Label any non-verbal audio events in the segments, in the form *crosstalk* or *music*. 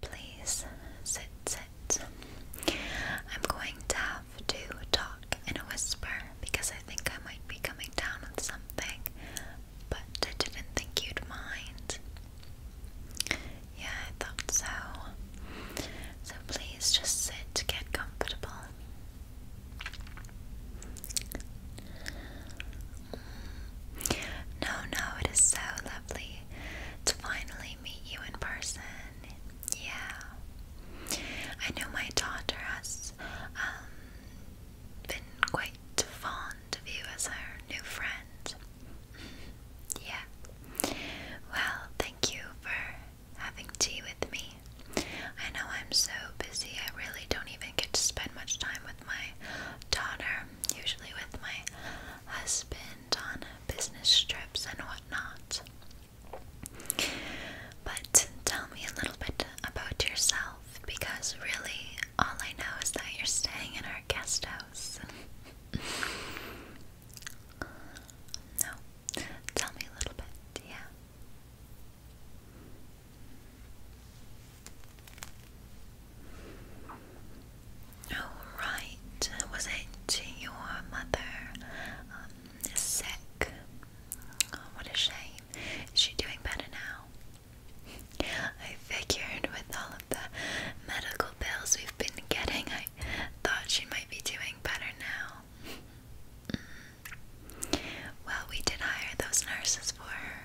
Please sit, sit. I'm going to have to talk in a whisper because I think I might be coming down with something, but I didn't think you'd mind. Yeah, I thought so. So please just sit, get comfortable. No, no, it is so lovely to finally meet you in person. Yeah. I know my daughter has um, been quite fond of you as her new friend. *laughs* yeah. Well, thank you for having tea with me. I know I'm so busy, I really don't even get to spend much time with my daughter, usually with my husband on business trips and whatnot. But tell me a little bit about yourself because really all I know is that you're staying in our guest house. *laughs* no, tell me a little bit, yeah. Alright, oh, was it your mother um, sick? Oh, what a shame. Is she doing better now? I figured with all of the medical bills we've been getting, I thought she might be doing better now. Mm. Well, we did hire those nurses for her.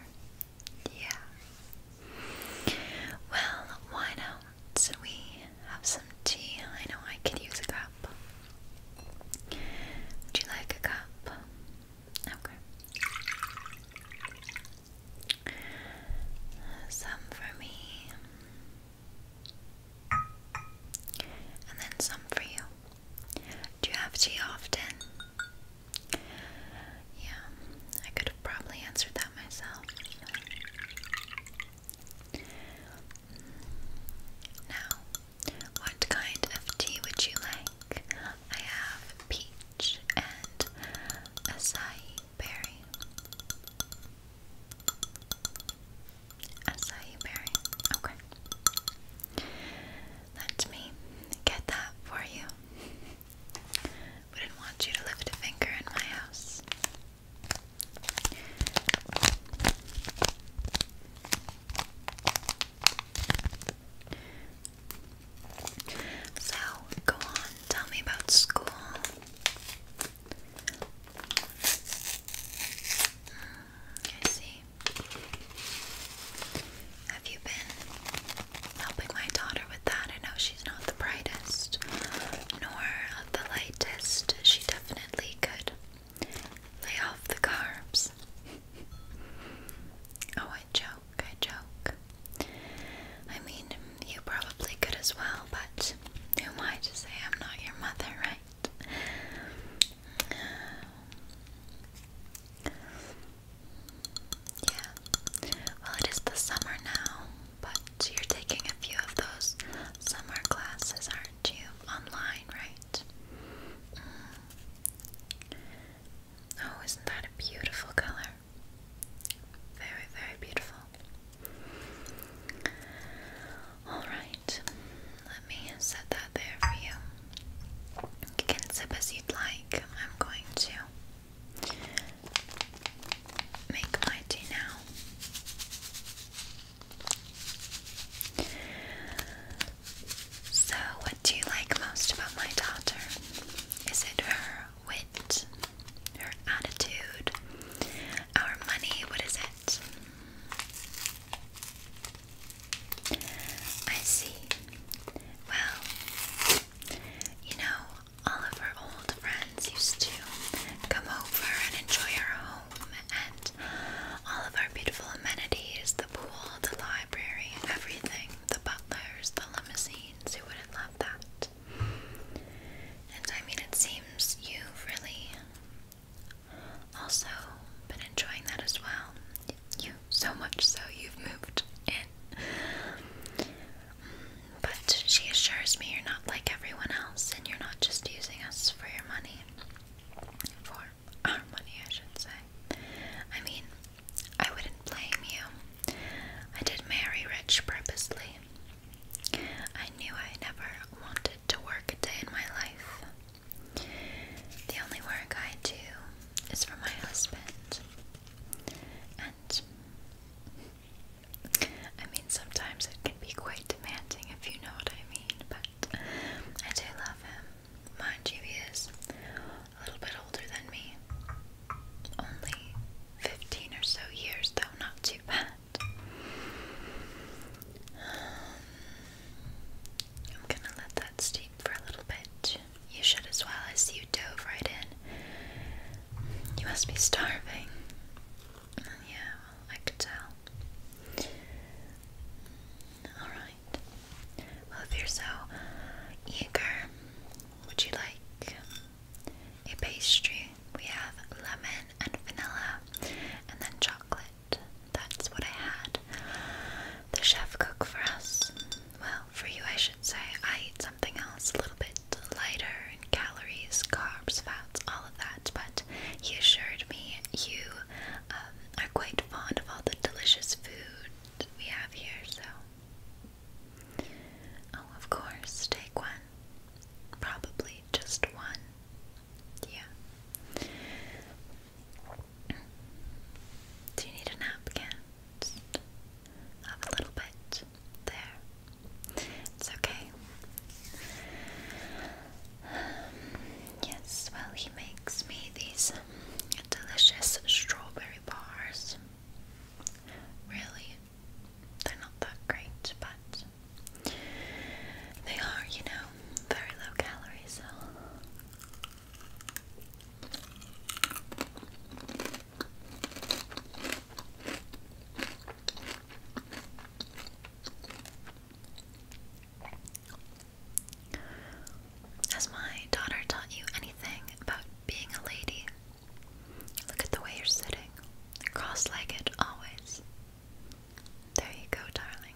Yeah. Well, why not so We have some tea. I know I could use a cup. Would you like a cup? Okay. Some for me. And then some for you. Do you have tea often? Yeah, I could probably answered that myself. Now, what kind of tea would you like? I have peach and acai berry. Acai berry, okay. Let me get that for you did not want you to lift a finger in my house. So, go on, tell me about school. Hmm, I see. Have you been helping my daughter with that? I know she's not the brightest nor the lightest, she definitely could lay off the carbs. *laughs* oh, I joke, I joke. I mean, you probably could as well, but who am I to say I'm not your mother, right? Yeah. Well, it is the summer now, but you're taking a few of those summer classes, aren't you? Online, right? Mm. Oh, isn't that a beautiful color? Very, very beautiful. Alright, let me set that there for you. You can sip as you'd like. I'm going to make my tea now. So, what do you like most about my daughter? Is it her wit, her attitude, our money? What is it? I see. Well, you know, all of our old friends used to come over and enjoy our home and all of our beautiful amenities the pool, the library, everything the butlers, the limousines. Who wouldn't love that? And I mean, it seems you've really also been enjoying that as well. You so much so you've moved in. But she assures me you're not like everyone else and you're not just using us for your money. For our money, I should say. I mean, I wouldn't blame you. I did marry rich purposely. I knew I never wanted to work a day in my life. The only work I do is for my husband. And I mean, sometimes it can be quite demanding if you know what I mean, but I do love him. Mind you, he is a little bit older than me. Only 15 or so years, though, not too bad. Um, I'm gonna let that steep for a little bit. You should as well as you dove right in. You must be starving yeah, I could tell. Alright. Well, if you're so eager, would you like a pastry? We have lemon and vanilla, and then chocolate. That's what I had. The chef cooked for us. Well, for you, I should say. I ate something else a little bit lighter and calories, carbs, fats, all of that. But he assured me you um, are quite fond of all the delicious food we have here, so. Oh, of course, take one. Probably just one. Yeah. Do you need a napkin? have a little bit. There. It's okay. Um, yes, well, he makes me these delicious strawberry bars. Really, they're not that great, but they are, you know, very low calorie, has my daughter taught you anything about being a lady? Look at the way you're sitting, cross legged always. There you go, darling.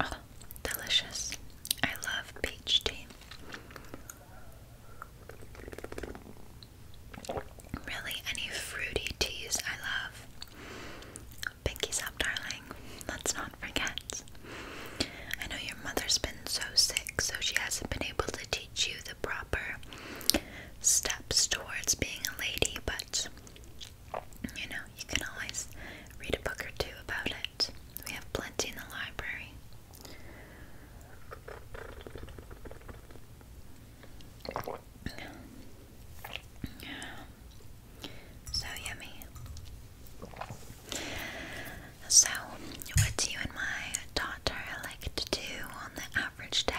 Oh, delicious. I love peach tea. Really, any fruity teas I love. Pinkies up, darling. Let's not forget. I know your mother's been so sick, so she hasn't been able to teach you the proper steps towards being a lady, but you know, you can always read a book or two about it. We have plenty in the library. So yummy. So, what do you and my daughter like to do on the average day?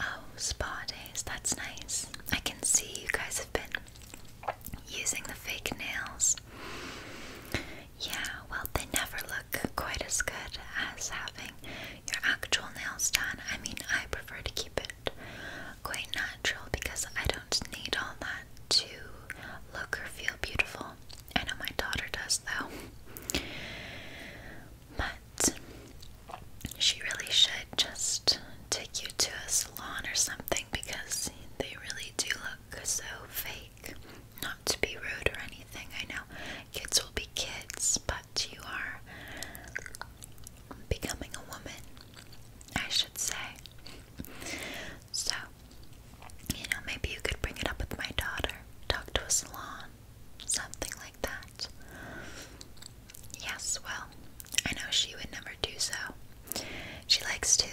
Oh, spa days, that's nice. I can see you guys have been using the fake nails. Yeah, well, they never look quite as good as having your actual nails done. I mean, I prefer to keep it quite natural because I don't need all that to look or feel beautiful. I know my daughter does, though. But she really should just take you to a salon or something because they really do look so fake. Not to be rude or anything, I know kids will be kids, but you are becoming a woman, I should say. So, you know, maybe you could bring it up with my daughter, talk to a salon, something like that. Yes, well, I know she would never do so. She likes to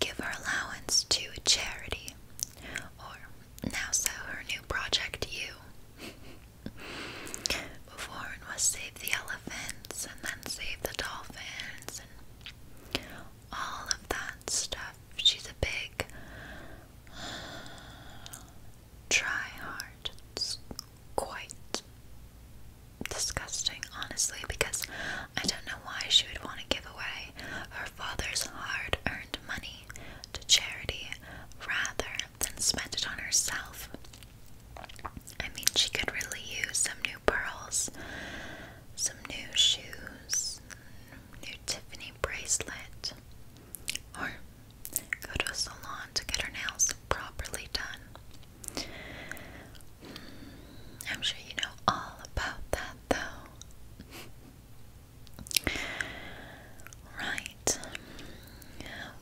give her allowance to charity, or now so her new project, you. *laughs* Before was save the elephants and then save the dolphins and all of that stuff. She's a big try hard. It's quite disgusting, honestly, because I don't know why she would want to give away her father's hard earned money to charity rather than spend it on herself. I mean, she could really use some new pearls, some new shoes, new Tiffany bracelet or go to a salon to get her nails properly done. Hmm, I'm sure you know all about that though. right.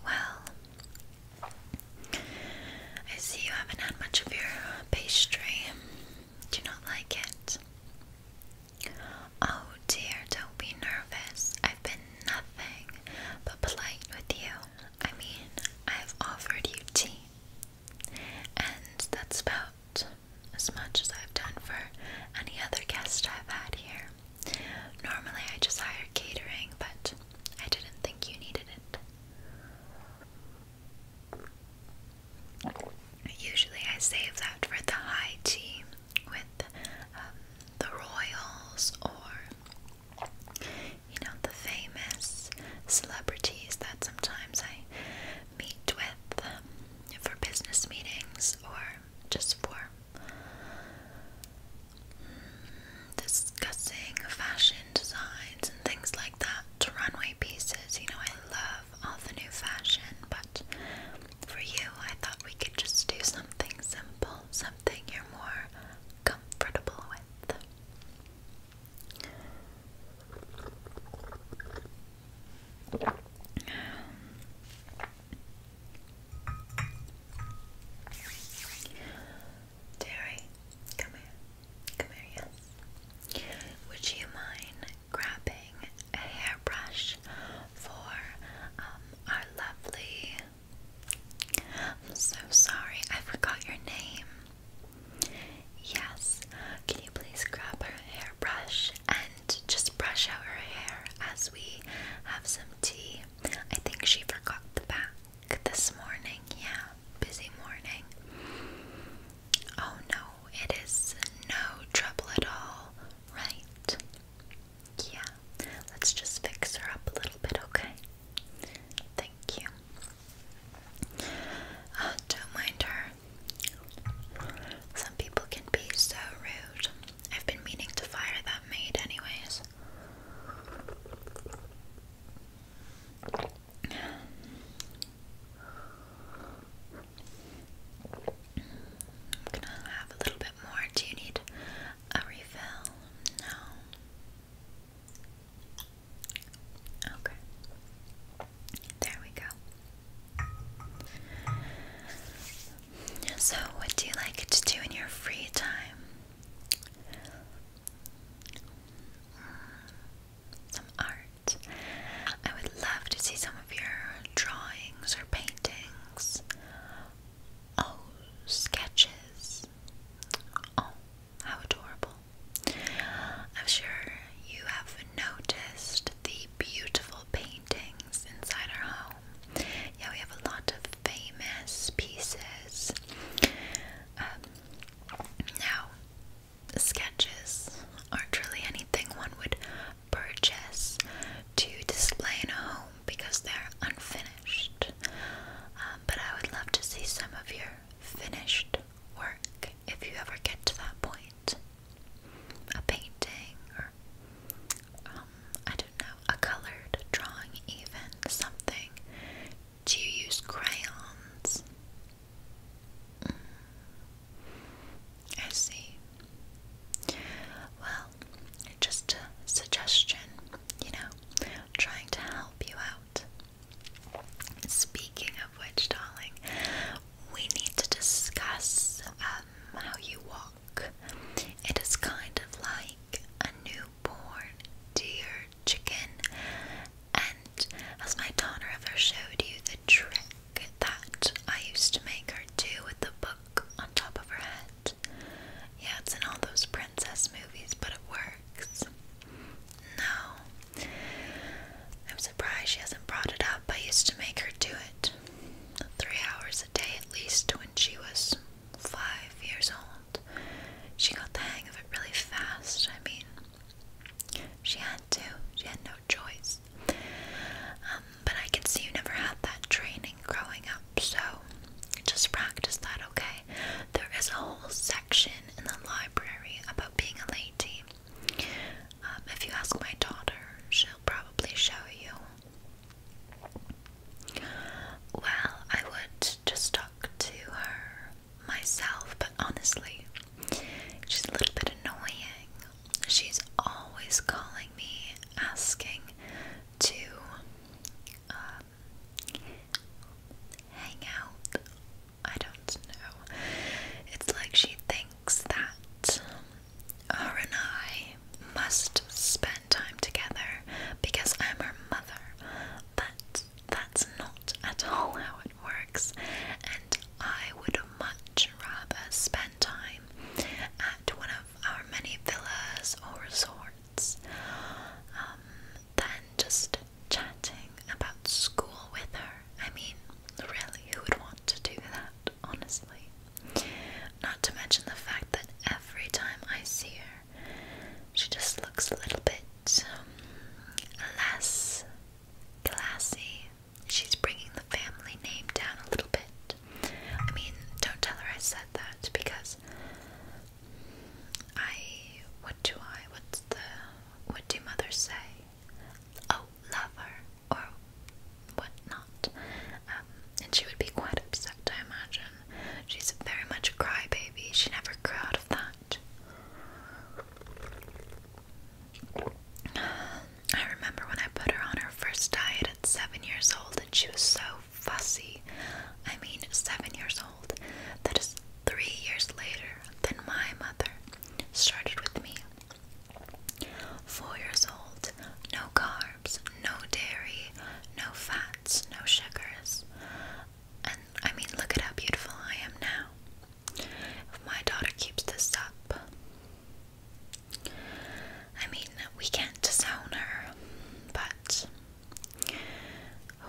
Well, I see you haven't had much of your pastry. Do you not like it? Oh dear, don't be nervous. I've been nothing but polite with you. I mean, I've offered you tea, and that's about as much as I've done for any other guest I've had here. Normally, I just hire catering, but I didn't think you needed it. Usually, I save that for the high tea, with um, the royals or you know the famous celebrities that sometimes I meet with um, for business meetings or just for mm, discussing fashion designs and things like that runway pieces. You know, I love all the new fashion, but for you, I thought we could just do something simple something you're more comfortable with. Terry, come here. Come here, yes. Would you mind grabbing a hairbrush for um, our lovely I'm so sorry, I forgot your name. Yes, can you please grab her hairbrush and just brush out her hair as we have some tea? I think she forgot the back this morning. Yeah, busy morning. Oh no, it is no trouble at all, right? Yeah, let's just fix her up a little bit, okay? Thank you. Uh, don't mind her. Some people can be so rude. I've been meaning to fire that maid, anyways. I'm gonna have a little bit more. Do you need a refill? No. Okay. There we go. So, what do you like to do in your free time? Some art. I would love to see some of your drawings or paintings Oh, sketches. Oh, how adorable. I'm sure you have noticed the beautiful paintings inside our home. Yeah, we have a lot of famous pieces. Um, now, sketches aren't really anything one would purchase to display in a home because they're unfinished. Um, but I would love to see some of your finished work if you ever get to that point. A painting or um, I don't know, a colored drawing, even something. Do you use crayons? Mm. I see. Well, well. Just a suggestion, you know, trying to help you out. Speaking of which, darling, we need to discuss um, how you walk. It is kind of like a newborn dear chicken. And has my daughter ever showed you the trick that I used to make her do with the book on top of her head? Yeah, it's in all those princess movies, but it works. No. I'm surprised she hasn't brought it up. I used to make her do it three hours a day at least when she was five years old. She got the hang of it really fast. I mean, she had to, she had no choice. Um, but I can see you never had that training growing up so just practice that, okay? There is a whole section in the library about being a lady. Um, if you ask my daughter, she'll probably show you. Well, I would just talk to her myself, but honestly, she's a little bit annoying. She's always calling me asking to uh, hang out. I don't know. It's like she thinks that her and I must spend time together because I'm her mother, but that's not at all how it works, and I would much rather spend time at one of our many villas or resorts friends. Um, then just chatting about school with her. I mean, really, who would want to do that, honestly? Not to mention the fact that every time I see her, she just looks a little bit um, less classy. She's bringing the family name down a little bit. I mean, don't tell her I said that because I what do I what's the what do mothers say? Oh, lover or whatnot. Um, and she would be quite upset, I imagine. She's very much a crybaby. She never grew out of that. I remember when I put her on her first diet at seven years old, and she was so fussy. I mean, seven years old. That is three years later than my mother started with me. Four years old, no carbs, no dairy, no fats, no sugars. And I mean, look at how beautiful I am now. If my daughter keeps this up, I mean, we can't disown her, but *sighs* I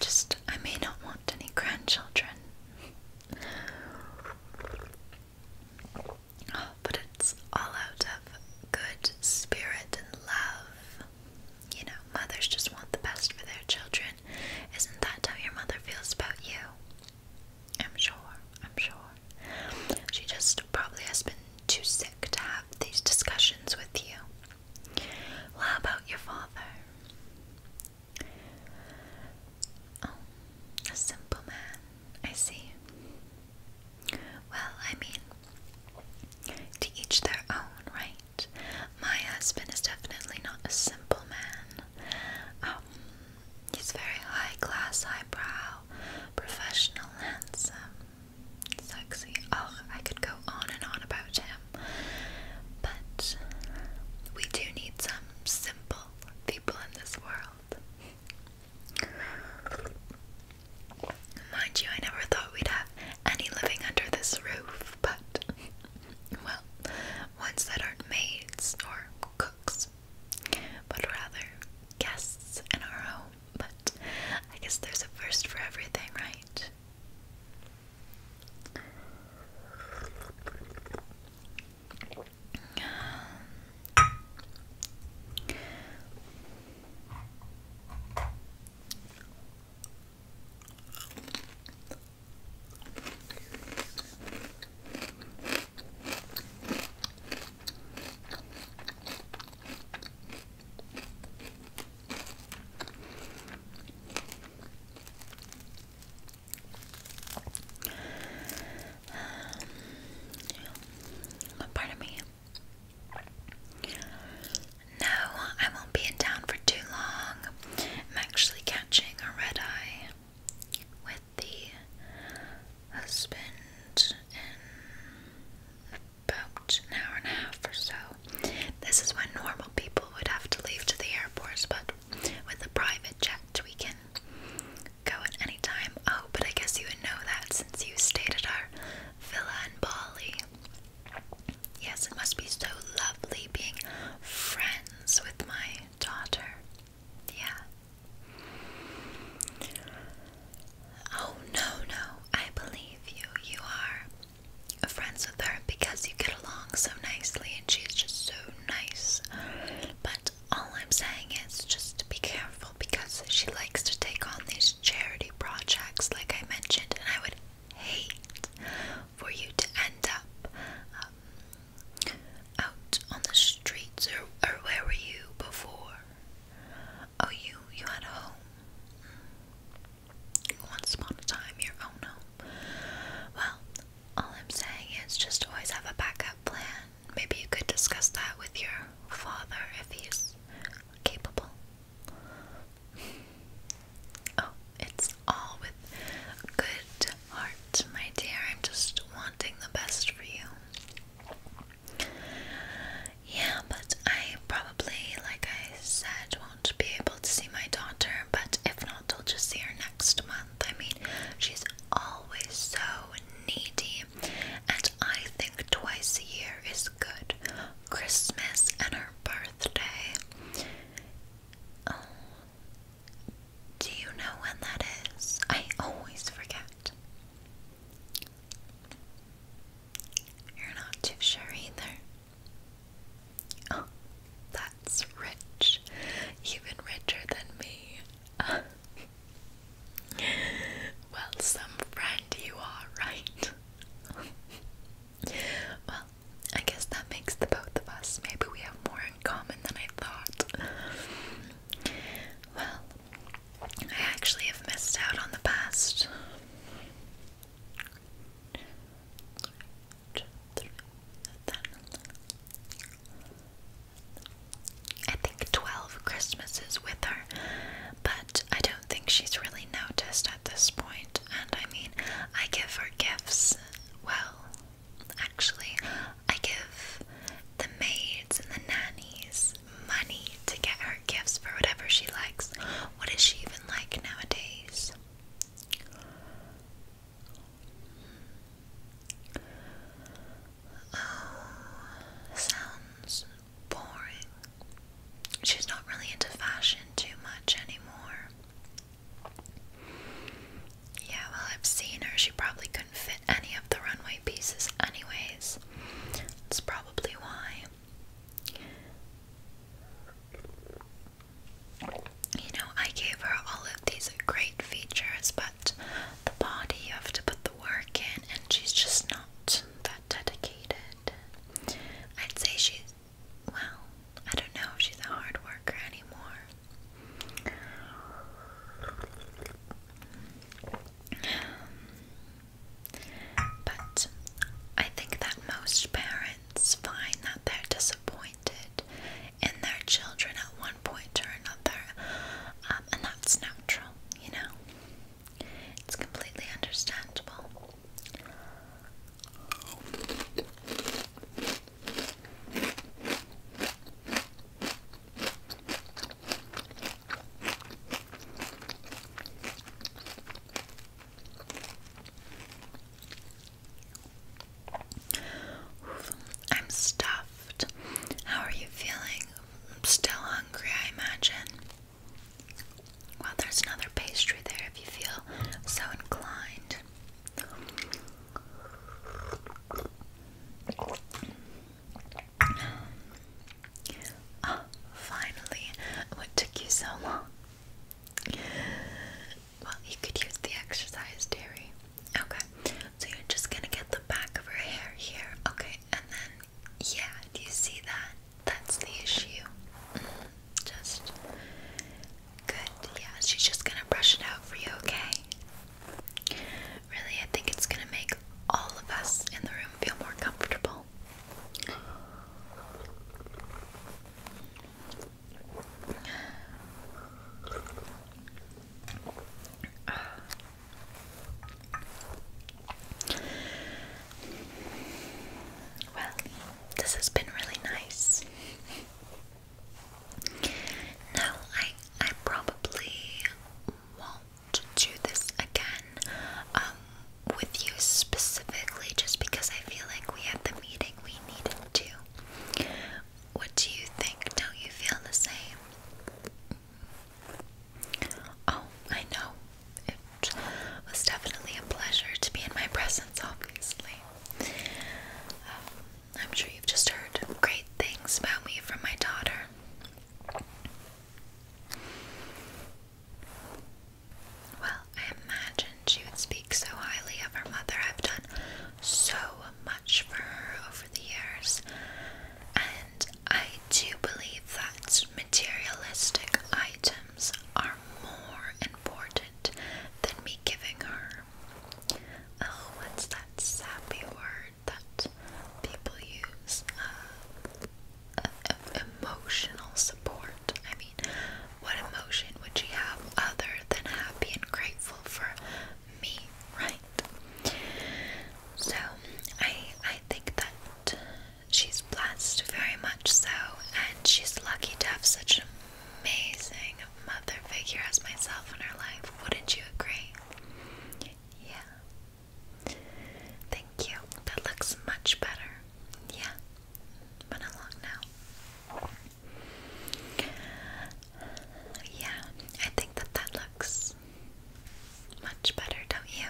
just, I may not want any grandchildren. Oh, but it's all out of good spirit and love. You know, mothers just want the best for their children. Isn't that how your mother feels about you? I'm sure, I'm sure. She just probably has been too sick to have these discussions with you. Well, how about your father? Oh, a simple man. I see. Well, I mean, to each their own, right? My husband is definitely not a simple man. Um, he's very high class, highbrow, professional, handsome. Sexy. Oh, I could go on and on about him. But we do need some simple people in this world. Mind you, I never thought we'd have any living under this roof, but well, ones that aren't maids or cooks, but rather guests in our own but I guess there's a first for everything, right? Um, yeah. Pardon me. No, I won't be in town for too long. I'm actually catching a red eye with the husband in about an hour and a half or so. This is when normal people would have to leave to the airports, but with a private jet, we can go at any time. Oh, but I guess you would know that since you stayed at our villa in Bali. Yes, it must be so lovely being friends with my daughter. Yeah. Oh, no, no, I believe you. You are friends with her because you get along so nicely and she's just so nice. But all I'm saying is just be careful because she likes to take on these charity projects, like I mentioned, and I would hate for you to end up um, out on the streets or, or where were you before? Oh, you you had a home. Once upon a time, your own home. Well, all I'm saying is just always have a backup plan. Maybe you could discuss that with your father if he's capable. Oh, it's all with good heart, my dear. I'm just wanting the best for you. Yeah, but I probably, like I said, won't be able to see my daughter, but if not, I'll just see her next month. I mean, she's always so needy, and I think twice a year is good Christmas and her birthday. Oh, do you know when that is? I always forget. You're not too sure either. Oh, that's rich. Even richer than me. *laughs* well, some friend you are, right? *laughs* well, I guess that makes the both of us. Maybe we have more in common than I thought. Well, I actually have missed out on the past. I think 12 Christmases with her, but I don't think she's really noticed at this point. And I mean, I give her gifts. Well, actually, I give the maids and the nannies money to get her gifts for whatever she likes. What is she even like nowadays? Oh, sounds boring. She's not really into fashion too much anymore. Yeah, well, I've seen her. She probably couldn't fit any of the runway pieces, anyways. That's probably why. You know, I gave her all of these great features, but the body you have to put the work in, and she's just not that dedicated. I'd say she's, well, I don't know if she's a hard worker anymore. But I think that most parents find that they're disappointed in their children at one point or another, um, and that's natural, you know? It's completely understandable. I'm stuffed. How are you feeling? I'm still hungry, I imagine. Well, there's another pastry there if you feel so inclined. *gasps* Ah, finally. What took you so long? Well, you could use the exercise, Terry. Okay, so you're just gonna get the back of her hair here, okay, and then, yeah, do you see that? That's the issue. Mm-hmm. just good, yeah, she's just gonna brush it out for you, okay? Really, I think it's gonna make all of us in the room feel more comfortable. Well, this has been really nice. Now, I I probably won't do this again. Uh, with you specifically just because I feel like we had the meeting we needed to. What do you think? Don't you feel the same? Oh, I know. It was definitely a pleasure to be in my presence, obviously. Um, I'm sure you've just heard great things about me from my daughter. Well, I imagined she would speak so highly of her mother. I've done so much for her over the years, and I do believe that materialistic items are more important than me giving her. Oh, what's that sappy word that people use? Uh, uh, emotional support. I mean, what emotion would she have other than happy and grateful for me, right? So I I think that she's blessed very much so, and she's lucky to have such an amazing mother figure as myself in her life. Wouldn't you agree? Yeah. Thank you. That looks much better. Yeah, been along now. Yeah, I think that that looks much better, don't you?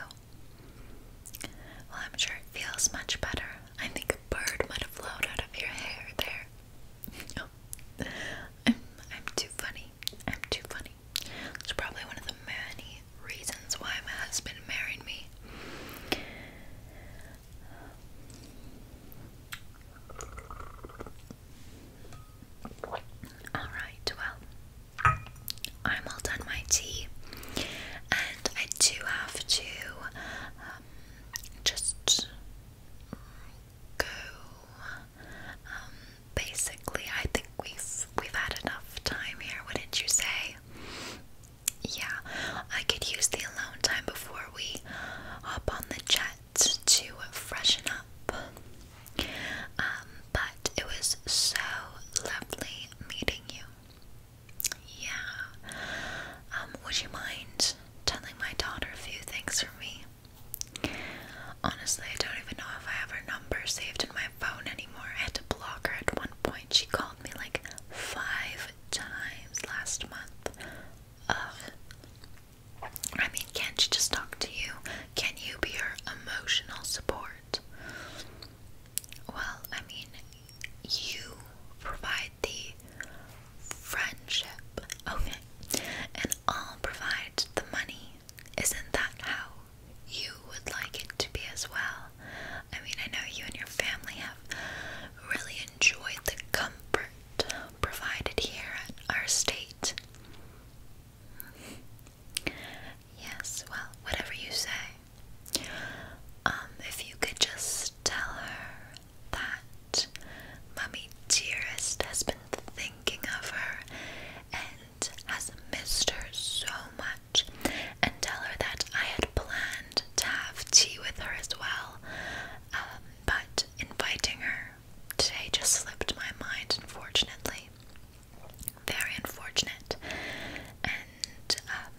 Well, I'm sure it feels much better. I think a bird might have flown out of your hair there. *laughs* Oh. I'm, I'm too funny. I'm too funny. It's probably one of the many reasons why my husband married me. Alright, well, I'm all done my tea, and I do have to um, just go. Um, basically, I think we've we've had enough time here. Wouldn't you say? yeah, I could use the alone time before we hop on the jet to freshen up. Um, but it was so lovely meeting you. Yeah. Um, would you mind telling my daughter a few things for me? Honestly, I don't even know if I have her number saved in my phone anymore. I had to block her at one point. She called me like five times last month I mean, can't she just talk to you? Can you be her emotional support? Well, I mean, you provide the friendship, okay, and I'll provide the money. Isn't that how you would like it to be as well? I mean, I know you and your family have really enjoyed the comfort provided here at our state. Yes, well, whatever you say. Um, if you could just tell her that Mummy Dearest has been thinking of her and has missed her so much, and tell her that I had had planned to have tea with her as well, um, but inviting her today just slipped my mind, unfortunately. Very unfortunate. And um,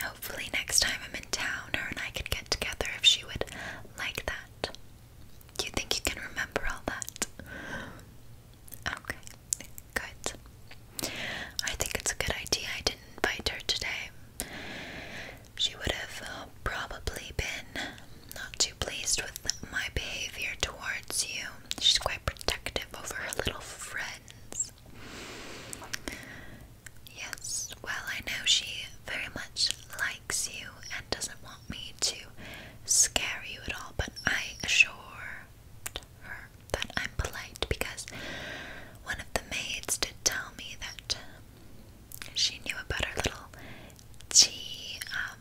hopefully, next time I'm in town, her and I could get together if she would like that. Do you think you can remember all that? Okay, good. I think it's a good idea I didn't invite her today. She would have uh, probably been not too pleased with my behavior towards you. She's quite protective over her little friends. Yes, well, I know she very much likes you and doesn't want me to scare you at all, but I assure her that I'm polite because one of the maids did tell me that um, she knew about her little tea um,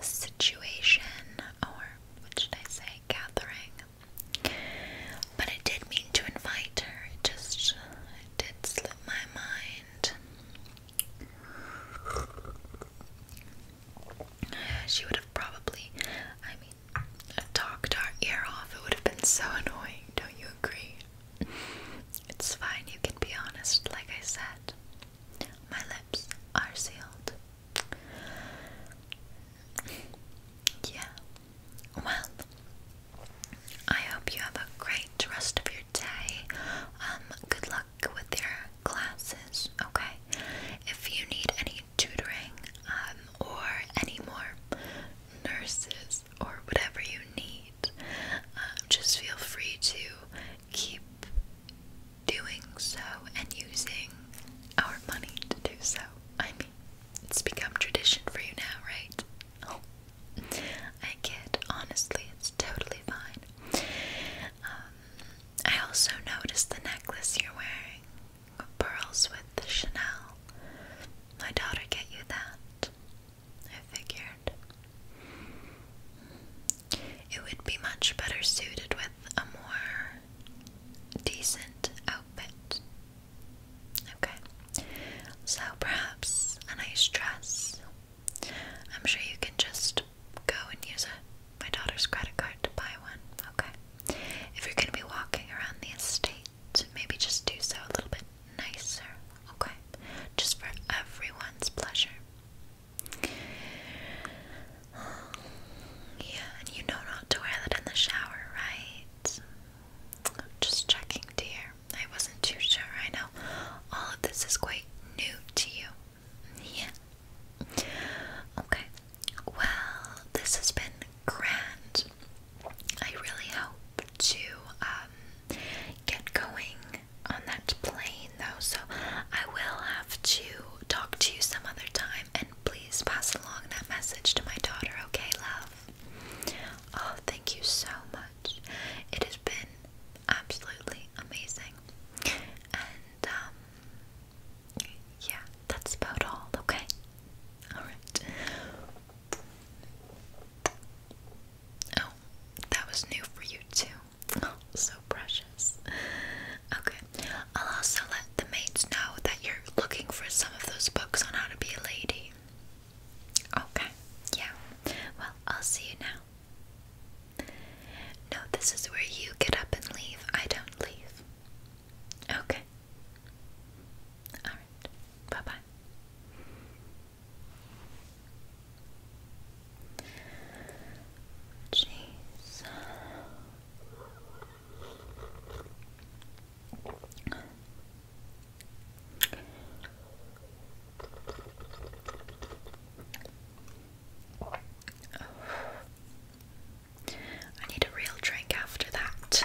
situation, or what should I say, Catherine. But I did mean to invite her, it just it did slip my mind. She would have probably, I mean, talked our ear off. It would have been so annoying. Don't you agree? It's fine, you can be honest, like I said. My lips are sealed. Yeah. Well, I hope you have a great rest of your day. Um, good luck with your classes, okay? If you need any tutoring, um, or any more nurses or whatever you need, um, just feel free to keep doing so and using our money to do so. I mean, it's become tradition for you now, right? Oh, *laughs* I get. Honestly, it's totally fine. Um, I also noticed the necklace you're wearing, pearls with the Chanel. My daughter get you that. I figured it would be much better suited with a more decent outfit. Okay, so perhaps a nice dress. I'm sure you can just go and use my daughter's credit card to buy one. Okay, if you're going to be walking around the estate, maybe just do so a little bit nicer, okay? Just for everyone's pleasure. *sighs* Yeah, and you know not to wear that in the shower, right? Just checking, dear. I wasn't too sure. I know all of this is quite new to you. Yeah. Okay. Well, this has been grand. I really hope to um, get going on that plane though, so I will have to talk to you some other time and please pass along that message to my daughter, okay, love? Oh, thank you so much. It has been absolutely amazing. And, um, yeah, that's about all, okay? Alright. Oh, that was new for you too. Oh, *laughs* so precious. Okay, I'll also let the maids know that you're looking for some of those books on how to be a lady. Okay, yeah. Well, I'll see you now. No, this is where you get up and leave. I don't leave. Okay, Alright, bye bye. Jeez. Oh. I need a real drink after that.